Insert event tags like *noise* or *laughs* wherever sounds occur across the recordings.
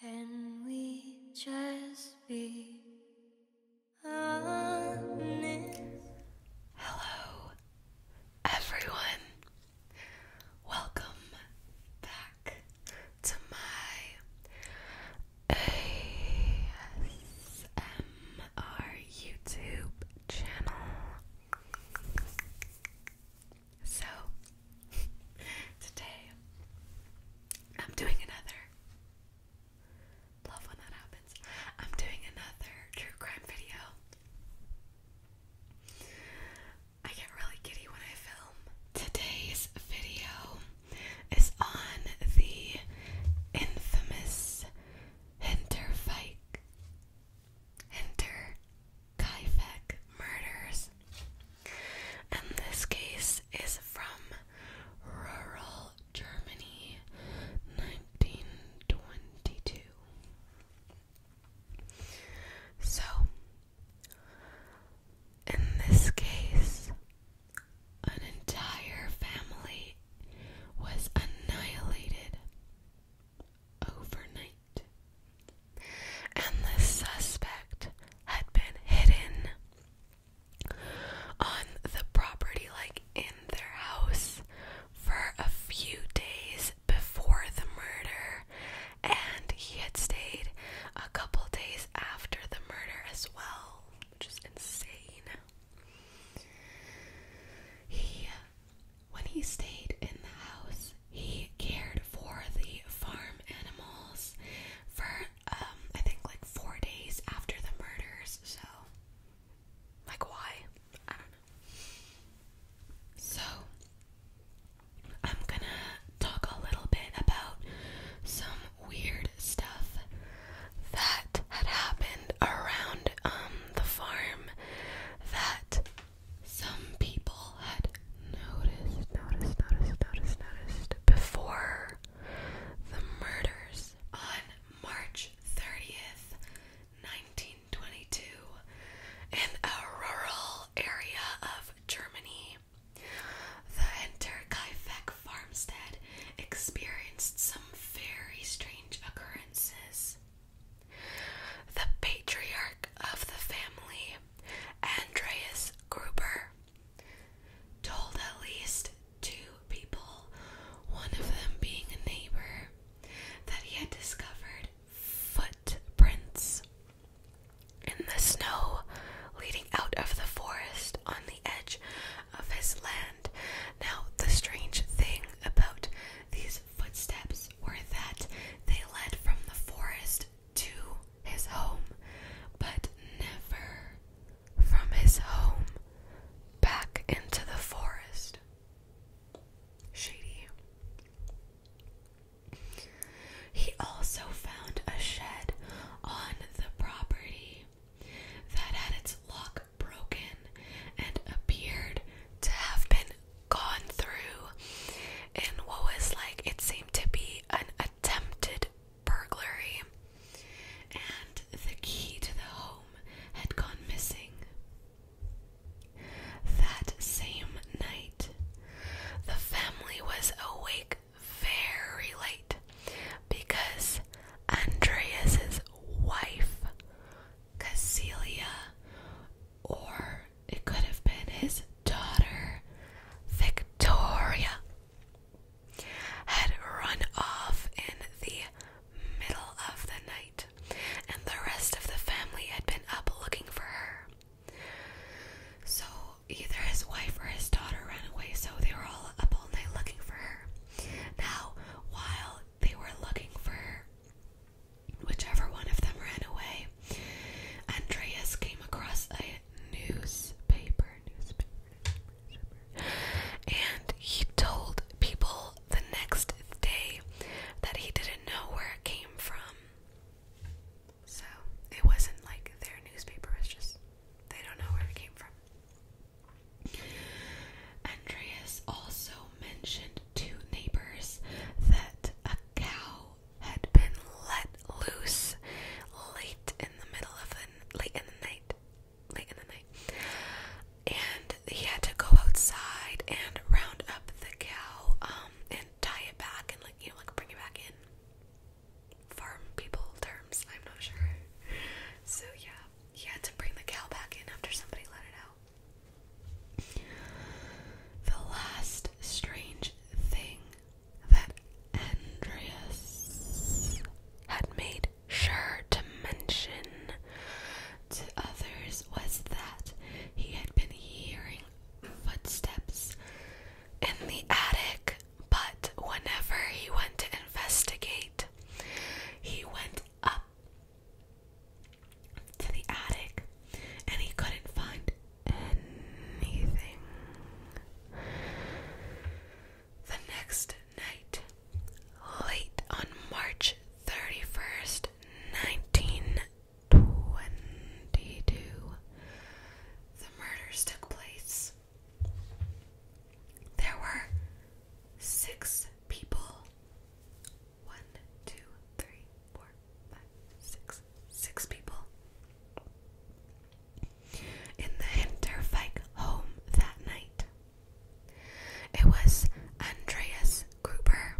Can we just be Hello, everyone. Welcome back to my ASMR YouTube channel. So, *laughs* today I'm doing another. Love when that happens. I'm doing another true crime video. I get really giddy when I film. Today's video is on the infamous Hinterfeik, Hinter Kaifek murders and this case is from rural Germany, 1922. So, in this case, an entire family was annihilated overnight and the suspect had been hidden on the property, like in their house, for a few days before the murder, and he had stayed a couple days after the murder as well, which is insane. He, when he stayed in the house, he cared for the farm animals for um, I think like four days after the murders, so like why? So I'm gonna talk a little bit about some weird stuff that had happened around um, the farm that some people had noticed, noticed, noticed, noticed, noticed before the murders on March 30th, 1922, in a rural area of Germany. The Hinterkaifeck farmstead experienced some very strange occurrences. The patriarch of the family, Andreas Gruber, told at least two people, one of them being a neighbor, that he had discovered footprints in the snow leading out of the forest on the edge of his land. Now, the strange thing about these footsteps were that they led from the forest to his home, but never from his home back into the forest. Shady. He also found a shed on the property that had its lock broken and appeared to have been gone through And what was like, it seemed to be an attempted burglary, and the key to the home had gone missing. That same night, the family was awake very late because Andreas's wife, Casilia, or it could have been his daughter, Victoria had run off in the middle of the night, and the rest of the family had been up looking for her. So either his wife or his daughter ran away, so they were all up all night looking for her. Now, while they were looking for whichever one of them ran away, Andreas came across a newspaper, newspaper, and he told people the next day that he didn't know where it came from. So it wasn't like their newspaper, was just they don't know where it came from. Andreas also mentioned to neighbors that a cow had been let loose late in the middle of the late in the night, late in the night, and he had to go outside and round up the cow um, and tie it back and like you know like bring it back in. Farm people terms, I'm not sure. So yeah, he had to bring the cow back in after somebody let it out. The last strange thing that Andreas had made sure to mention to others was that he had been hearing footsteps in the attic, but whenever he went to investigate, he went up to the attic and he couldn't find anything. The next night, late on March 31st, 1922, the murders took place. There were six people. One, two, three, four, five, six. Six people in the Hinterfike home that night. It was Andreas Gruber,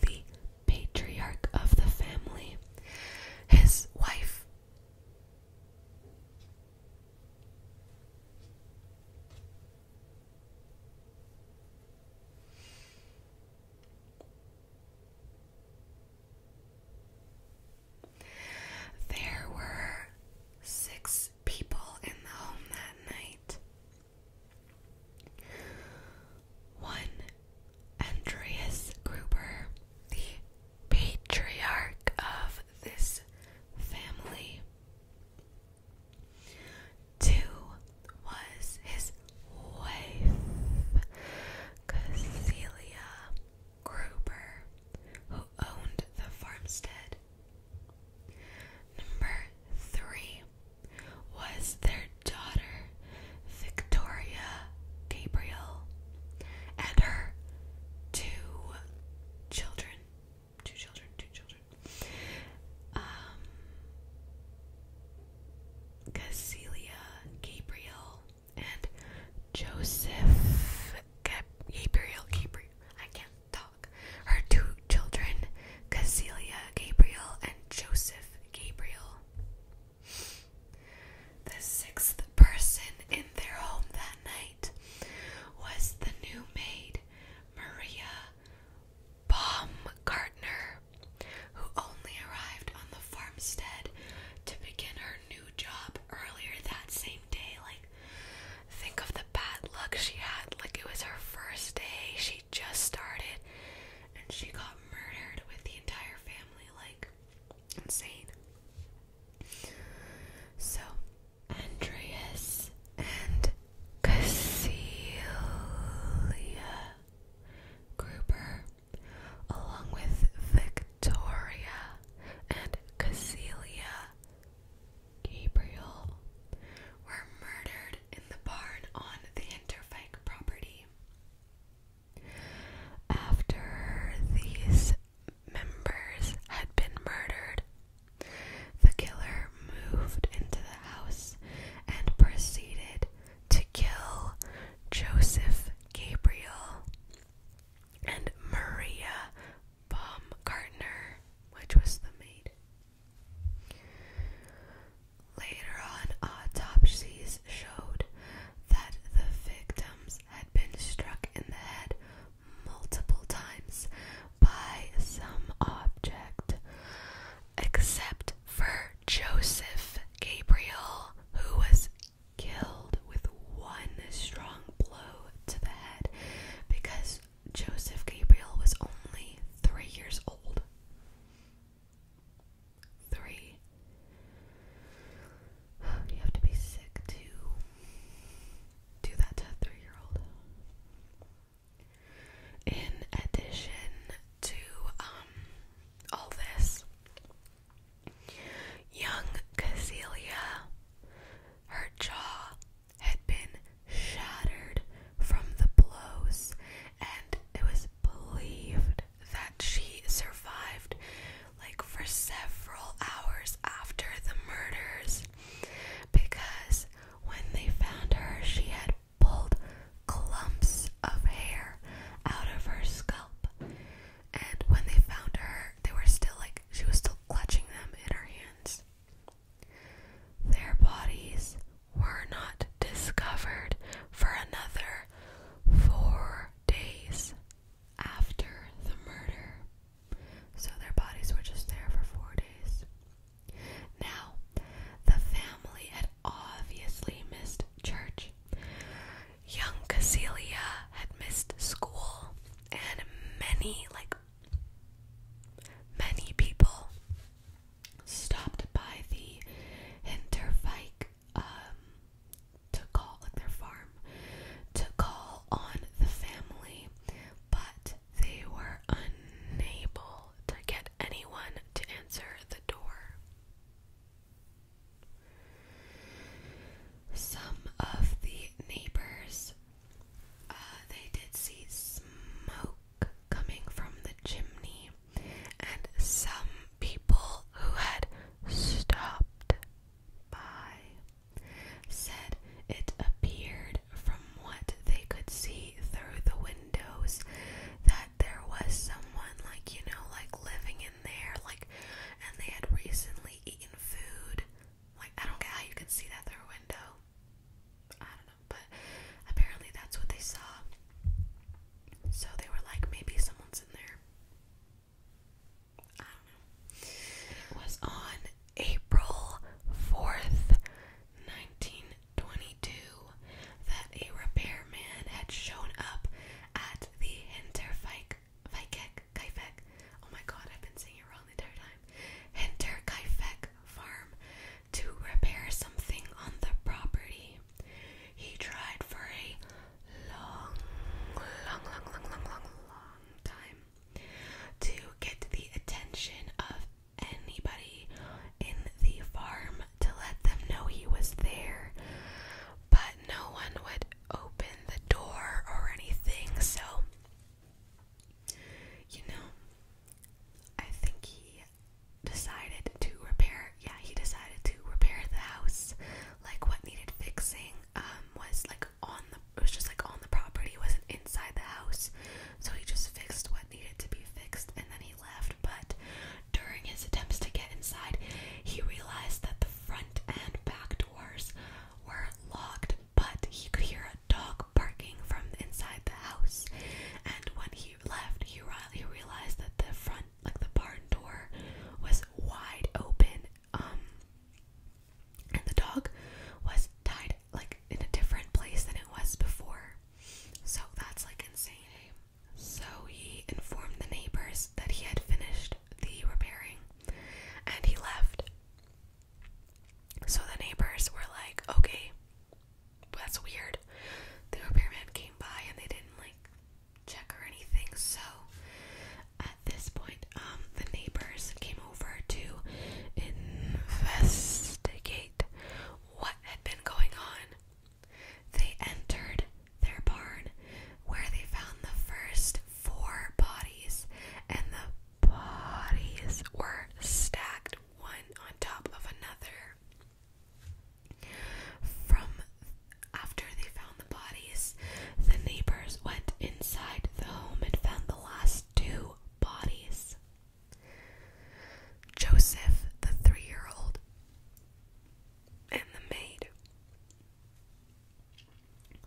the patriarch of the family, his wife. There were six people in the home that night. One, Andreas Gruber, the patriarch of this family. Two was his wife, Cecilia, Gruber, who owned the farmstead. Number three was their daughter, Victoria Gabriel, and her two children. Two children, two children. Um, Casilia Gabriel and Joseph Gabriel Gabriel. I can't talk. Her two children, Casilia Gabriel and Joseph Gabriel. The sixth person in their home that night was the new maid, Maria Baumgartner, who only arrived on the farmstead to begin her new job earlier that same day. Like, think of the bad luck she had. Like, it was her first day, she just started, and she got murdered with the entire family. Like, insane. So, Andreas and Cassilia Gruber along with Victoria and Casilia Gabriel, were murdered in the barn on the Interfike property. After these members had been murdered, the killer moved into the house and proceeded to kill Joseph Gabriel and Maria Baumgartner, which was the maid. Later on, autopsies showed that the victims had been struck in the head multiple times by some object, except for Joseph Gabriel, who was killed with one strong blow to the head because Joseph Gabriel was only three years old. Three. You have to be sick to do that to a three year old. In addition to um, all this, Young Casilia, her jaw had been shattered from the blows, and it was believed that she survived like for several hours after the murders because when they found her, she had pulled clumps of hair out of her scalp and when they found her, they were still like, she was still clutching them in her hands. Their bodies were not discovered for another four days after the murder. So their bodies were just there for four days. Now, the family had obviously missed church young Cecilia had missed school, and many, like, many people stopped by the Hinterfike, um, to call at their farm, to call on the family, but they were unable to get anyone to answer the door. Some of the neighbors uh, they did see smoke coming from the chimney, and some people who had stopped by said it appeared from what they could see through the windows that there was someone like you know like living in there, like, and they had recently eaten food. Like, I don't get how you can see that through a window. I don't know, but apparently that's what they saw. So they were like, maybe someone's in there. I don't know. It was on April 4th, 1922, that a repairman had shown up at the Hinterfike Kaifek. Oh my god, I've been saying it wrong the entire time. Enter Kaifek farm to repair something on the property. He tried for a long, long, long, long, long, long, long time to get the attention of anybody in the farm to let them know he was there, but no one would open the door or anything, so you know, I think he decided to repair yeah, he decided to repair the house. Like what needed fixing um was like on the it was just like on the property, wasn't inside the house. So he just fixed what needed to be fixed and then he left. But during his attempts to get inside, he realized that the front and back doors were locked, but he could hear a dog barking from inside the house. And when he left, he, realized that the front, like the barn door, was wide open. Um, and the dog was tied like in a different place than it was before. So that's like insane. So he informed the neighbors that he had finished the repairing and he left. So the neighbors were like, okay, that's weird. The repairman came by and they didn't like check or anything. So at this point, um, the neighbors came over to investigate what had been going on. They entered their barn, where they found the first four bodies, and the bodies were stacked one on top of another. From after they found the bodies, the neighbors went inside the home and found the last two bodies. Joseph, the three year old, and the maid.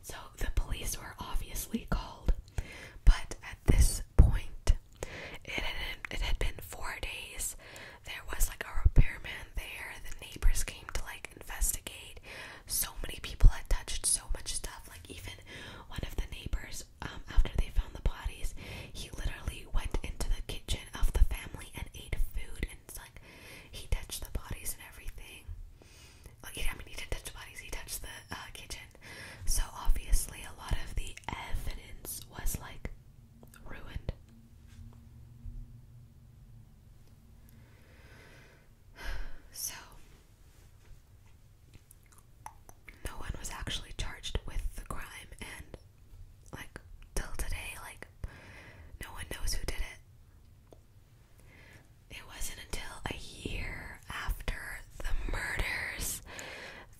So the police were obviously called, but at this point, it had, it had been four days. There was like a repairman there. The neighbors came to like investigate. So many people had touched so much stuff. Like even one of the neighbors, um, after they found the bodies, he literally went into the kitchen of the family and ate food like he touched the bodies and everything. Like, he didn't touch the bodies, he touched the uh, kitchen. So obviously, a lot of the evidence was like ruined. *sighs* So, no one was actually charged with the crime, and like till today, like no one knows who did it. It wasn't until a year after the murders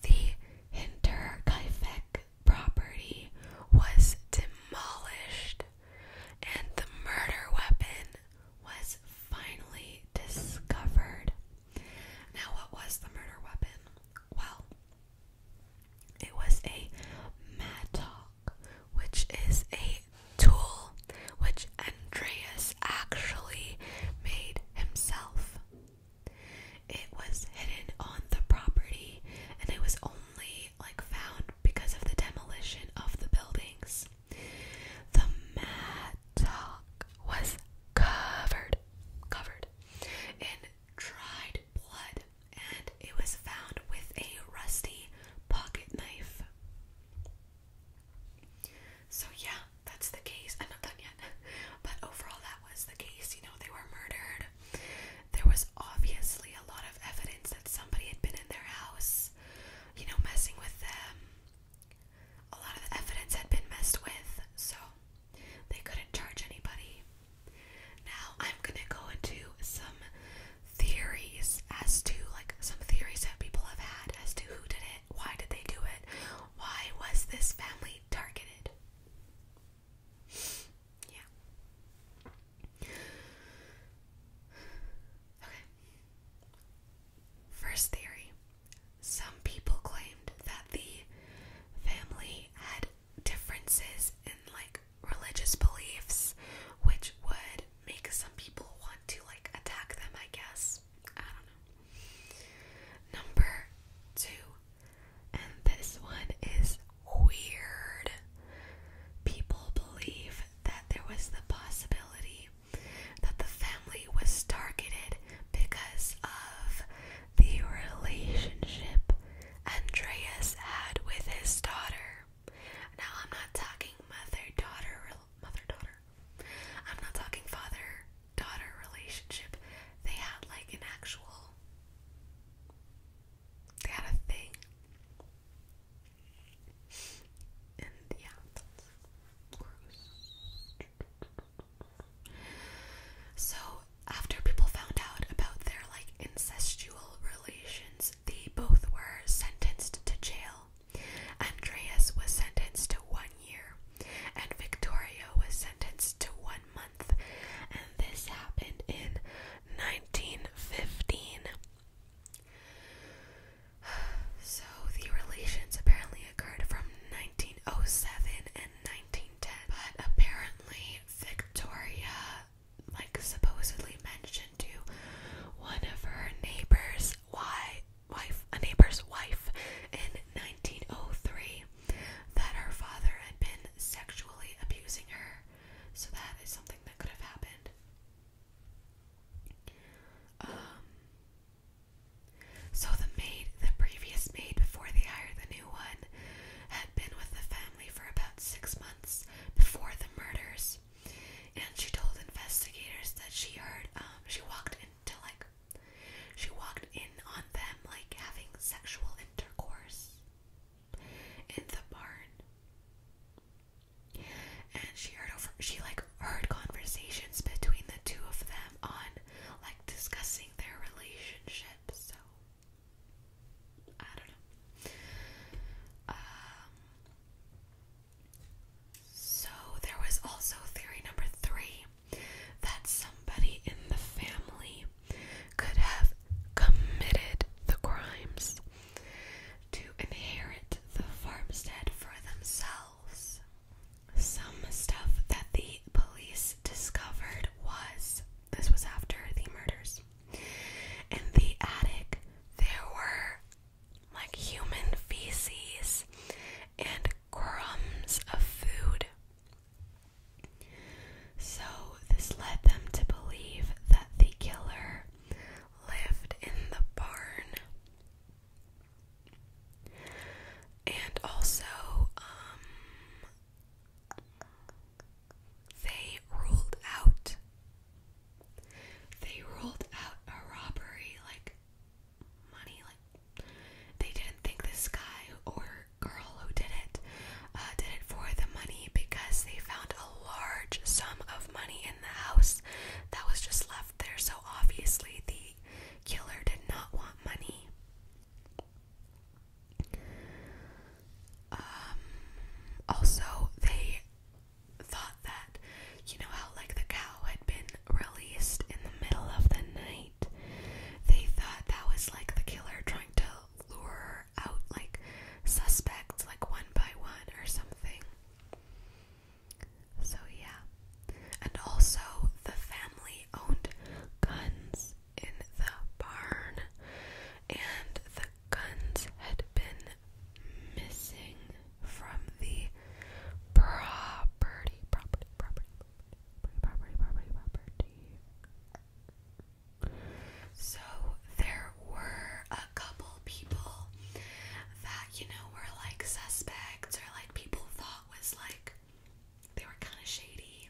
the Hinterkaifeck property was demolished and the murder weapon was finally discovered. Now, what was the murder weapon? Well, it was a mattock which is a tool which Andreas actually made himself. It was hidden on the property and it was only like found because of the demolition of the buildings. The mattock was covered covered in dried blood and it was found with a rusty pocket knife. So, yeah, that's the case. I'm not yet, *laughs* but overall, that was the case. You know, they were murdered. There was obviously a lot of evidence that somebody had been in their house, you know, messing with them. A lot of the evidence had been messed with, so they couldn't charge anybody. Now, I'm gonna go into some theories as to like some theories that people have had as to who did it, why did they do it, why was this family targeted. Yeah. Okay. First theory. Some people claimed that the family had differences in like religious beliefs, which would make some people want to like attack them, I guess. I don't know. Number two, and this one is weird. People believe that there was the possibility that the family was targeted because of the relationship Andreas had with his daughter. Now I'm not talking mother daughter mother daughter. I'm not talking father daughter relationship. They had like an actual they had a thing. And yeah, So after people found out about their like incestual relations offense, they both were sentenced to jail. Andreas was sentenced to one year, and Victoria was sentenced to one month. And this happened in 1915. *sighs* So the relations apparently occurred from 1907 and 1910, but apparently Victoria like supposedly mentioned to one of her neighbors why wife a neighbor's wife in 1903 that her father had been sexually abusing her so that is something that could have happened um so the maid the previous maid before they hired the new one had been with the family for about 6 months before the murders and she told investigators that she heard um, she walked into like she walked in on them like having sexual intercourse in the barn. And she heard over she like heard conversations between the two of them on like discussing their relationship, so I don't know. Um, so there was also theory number three that somebody in the family could have committed the crimes to inherit the farmstead for themselves. Some stuff that the police discovered was this was after the murders. In the attic, there were like human feces and crumbs of food. So, this led them to believe that the killer lived in the barn. And also, um, they ruled out they rolled out a robbery like money, like they didn't think this guy or girl who did it uh, did it for the money because they found a large sum of money in the house that was just left there. So obviously, the killer did not want money. Um, also, they thought that you know how like the cow had been released in the middle of the night. They thought that was like the killer trying to lure out like suspects like one by one or something. So yeah. And also the family owned guns in the barn and the Guns had been missing from the property, property, property, property, property, property. So there were a couple people that, you know, were like suspects or like people thought was like they were kind of shady.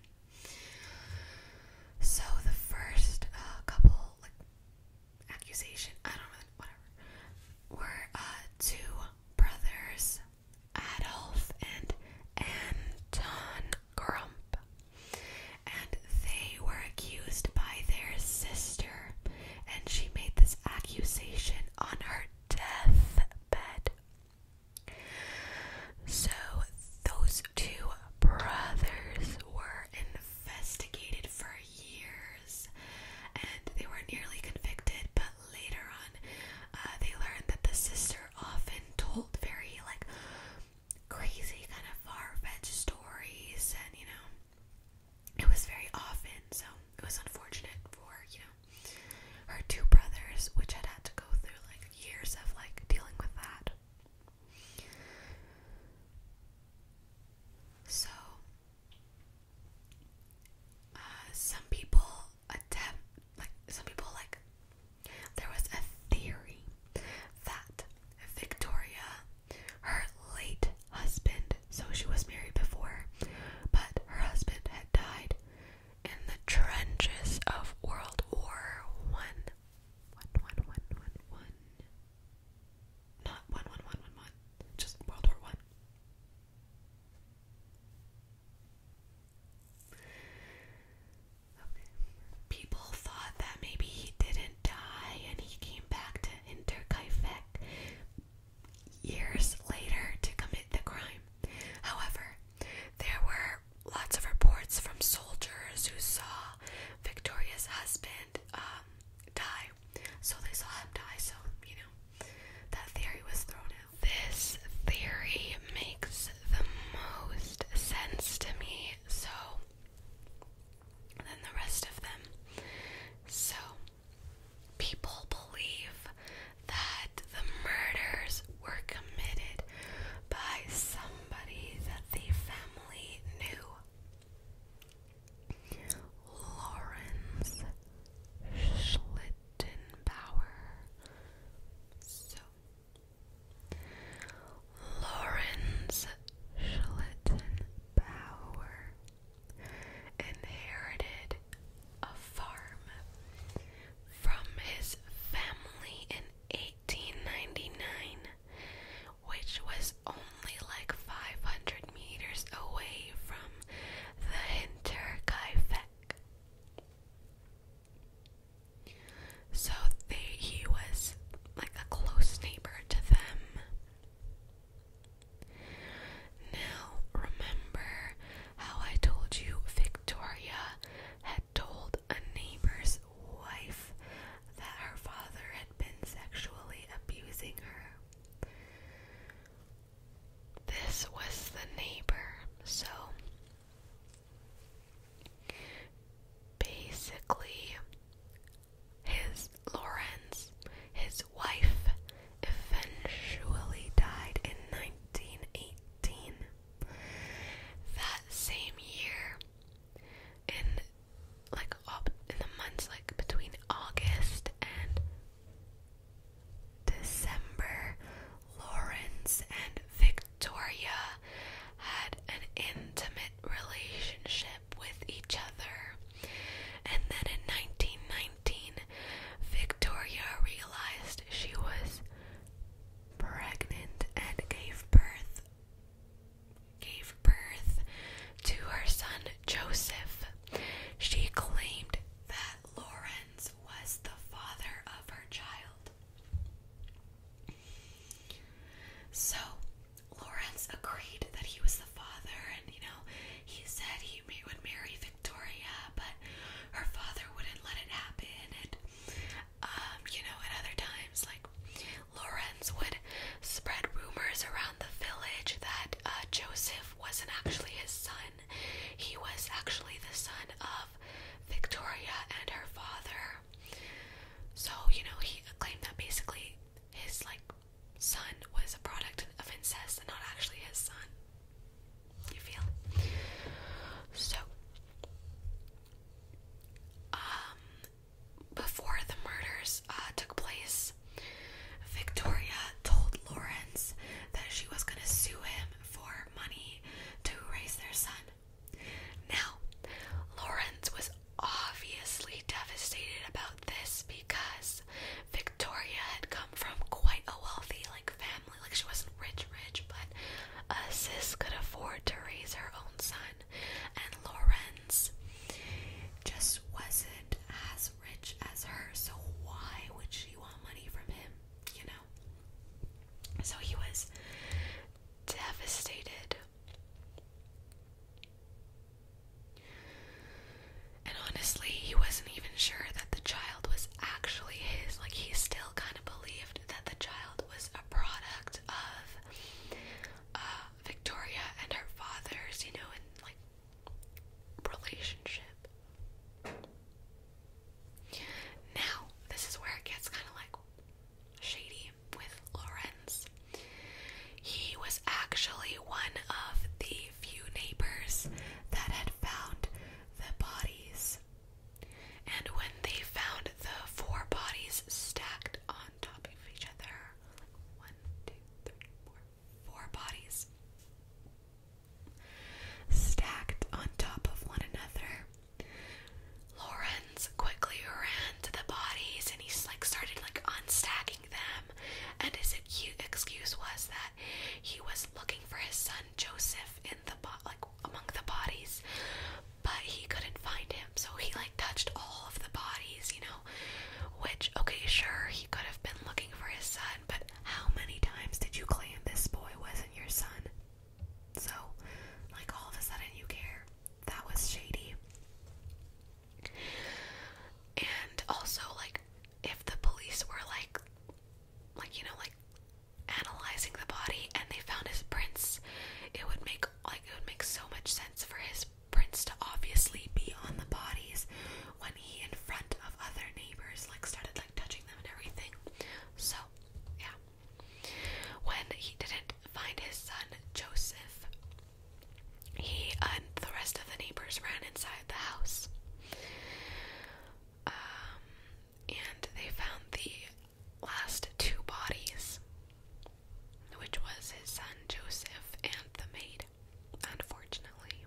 So the first uh, couple, accusation, I don't know, whatever, were uh, two brothers, Adolf and Anton Grump, and they were accused by their sister, and she made this accusation on her deathbed. So, those two brothers were investigated for years and they were nearly convicted, but later on uh, they learned that the sister often told very like crazy kind of far-fetched stories and you know it was very often so it was unfortunate for you know her two brothers which had had to go through like years of like dealing with that so, uh, some people attempt, like, some people, like, there was a theory that Victoria, her late husband, so she was married before, but her husband had died in the trenches of World War One. One, one, one, one, one. Not one, one, one, one, one. Just World War One. People thought that maybe he didn't die and he came back to Interkaifeck years later to commit the crime. However, there were lots of reports from soldiers who saw Victoria's husband um, die so they saw him die, so, you know, that theory was thrown out. This theory makes the most sense to me, so, than the rest of them. So, people believe that the murders were committed by somebody that the family knew. Lawrence Schlittenbauer. So, Lawrence Schlittenbauer inherited a farm from his family in 1899 which was only like 500 meters away from the Hinterkaifeck. So they, he was like a close neighbor to them. Now, remember how I told you Victoria had told a neighbor's wife that her father had been sexually abusing her. This was the neighbor, so basically, his Lawrence, his wife, eventually died in 1918. That same year, in like up in the months like between August and December, Lawrence and Victoria had an intimate relationship with each other. And then in 1919, Victoria realized she was pregnant and gave birth gave birth to her son Joseph. She claimed that Lawrence was the father of her child. So Lawrence agreed that he was the father, and you know, he said he would marry Victoria, but her father wouldn't let it happen. And um, you know, at other times, like Lorenz would spread rumors around the village that uh, Joseph wasn't actually his son. He was actually the son of Victoria and her father. So, you know, he claimed that basically his like son was a product of incest and not actually his son. You feel? So um before the murders uh, took place, Victoria told Lawrence that she was going to sue him for money to raise their son. Now, Lawrence was obviously devastated about this because Victoria had come from quite a wealthy like family. Like she wasn't rich, rich, but a sis could afford to raise her own son and Lorenz just wasn't as rich as her, so why would she want money from him, you know? So he was devastated. And honestly, he wasn't even sure that the child was actually his. Like, he still kind of believed that the child was a product of uh, Victoria and her father's, you know, and like relationship. Now, this is where it gets kind of like shady with Lorenz. He was actually one of the few neighbors that had found the bodies. And when they found the four bodies stacked on top of each other, like one, one, two, bodies stacked on top of one another. Lawrence quickly ran to the bodies and he like started like unstacking them. And his excuse was that he was looking for his son Joseph in the bo- like among the bodies, but he couldn't find him. So he like touched all of the bodies, you know. Which, okay, sure, he could have been looking for his son, but how many times did you claim this boy wasn't your son? So, like, all of a sudden you care. That was shady. And also, like, if the police were like, like, you know, like, analyzing the body and they found his prints, it would make, like, it would make so much sense for his Prince to obviously be on the bodies when he, in front of other neighbors, like started like touching them and everything. So, yeah. When he didn't find his son Joseph, he and the rest of the neighbors ran inside the house. Um, and they found the last two bodies which was his son Joseph and the maid, unfortunately.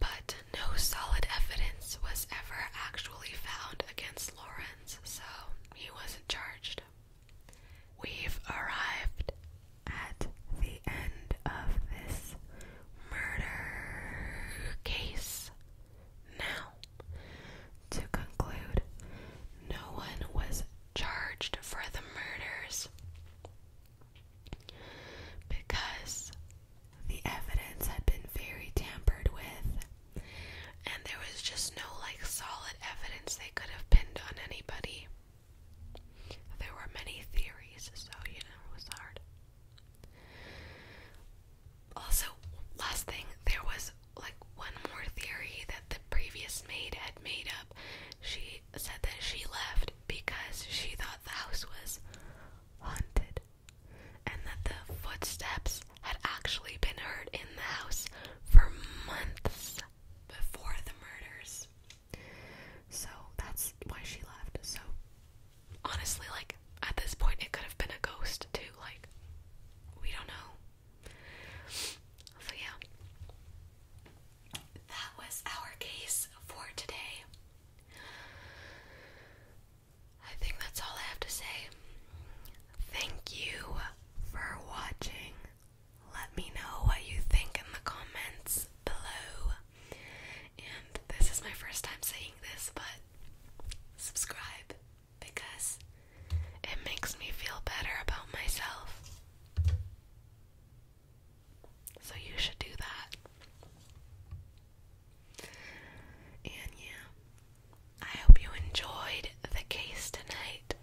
But no solid evidence was ever actually found against Lawrence, so he wasn't charged. We've arrived at the end of this murder case. Now, to conclude, no one was charged for the murders because the evidence had been very tampered with and there was just no like solid evidence they could have pinned on anybody. There were many theories, so you know it was hard. Also, last thing, there was like one more theory that the previous maid had made up she said that she left because she thought the house was haunted and that the footsteps had actually been heard in the house for months before the murders. So that's why she left. So honestly, like at this point, it could have been a ghost too. Like, we don't know. So, yeah, that was our case for today. I think that's all I have to say. Thank you for watching. Let me know what you think in the comments below. And this is my first time saying this, but subscribe because it makes me feel better about myself. So you should do that. And yeah, I hope you enjoyed the case tonight.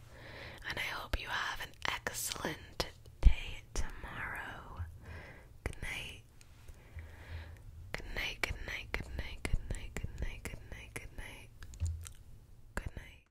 And I hope you have an excellent day tomorrow. Good night. Good night, good night, good night, good night, good night, good night, good night. Good night.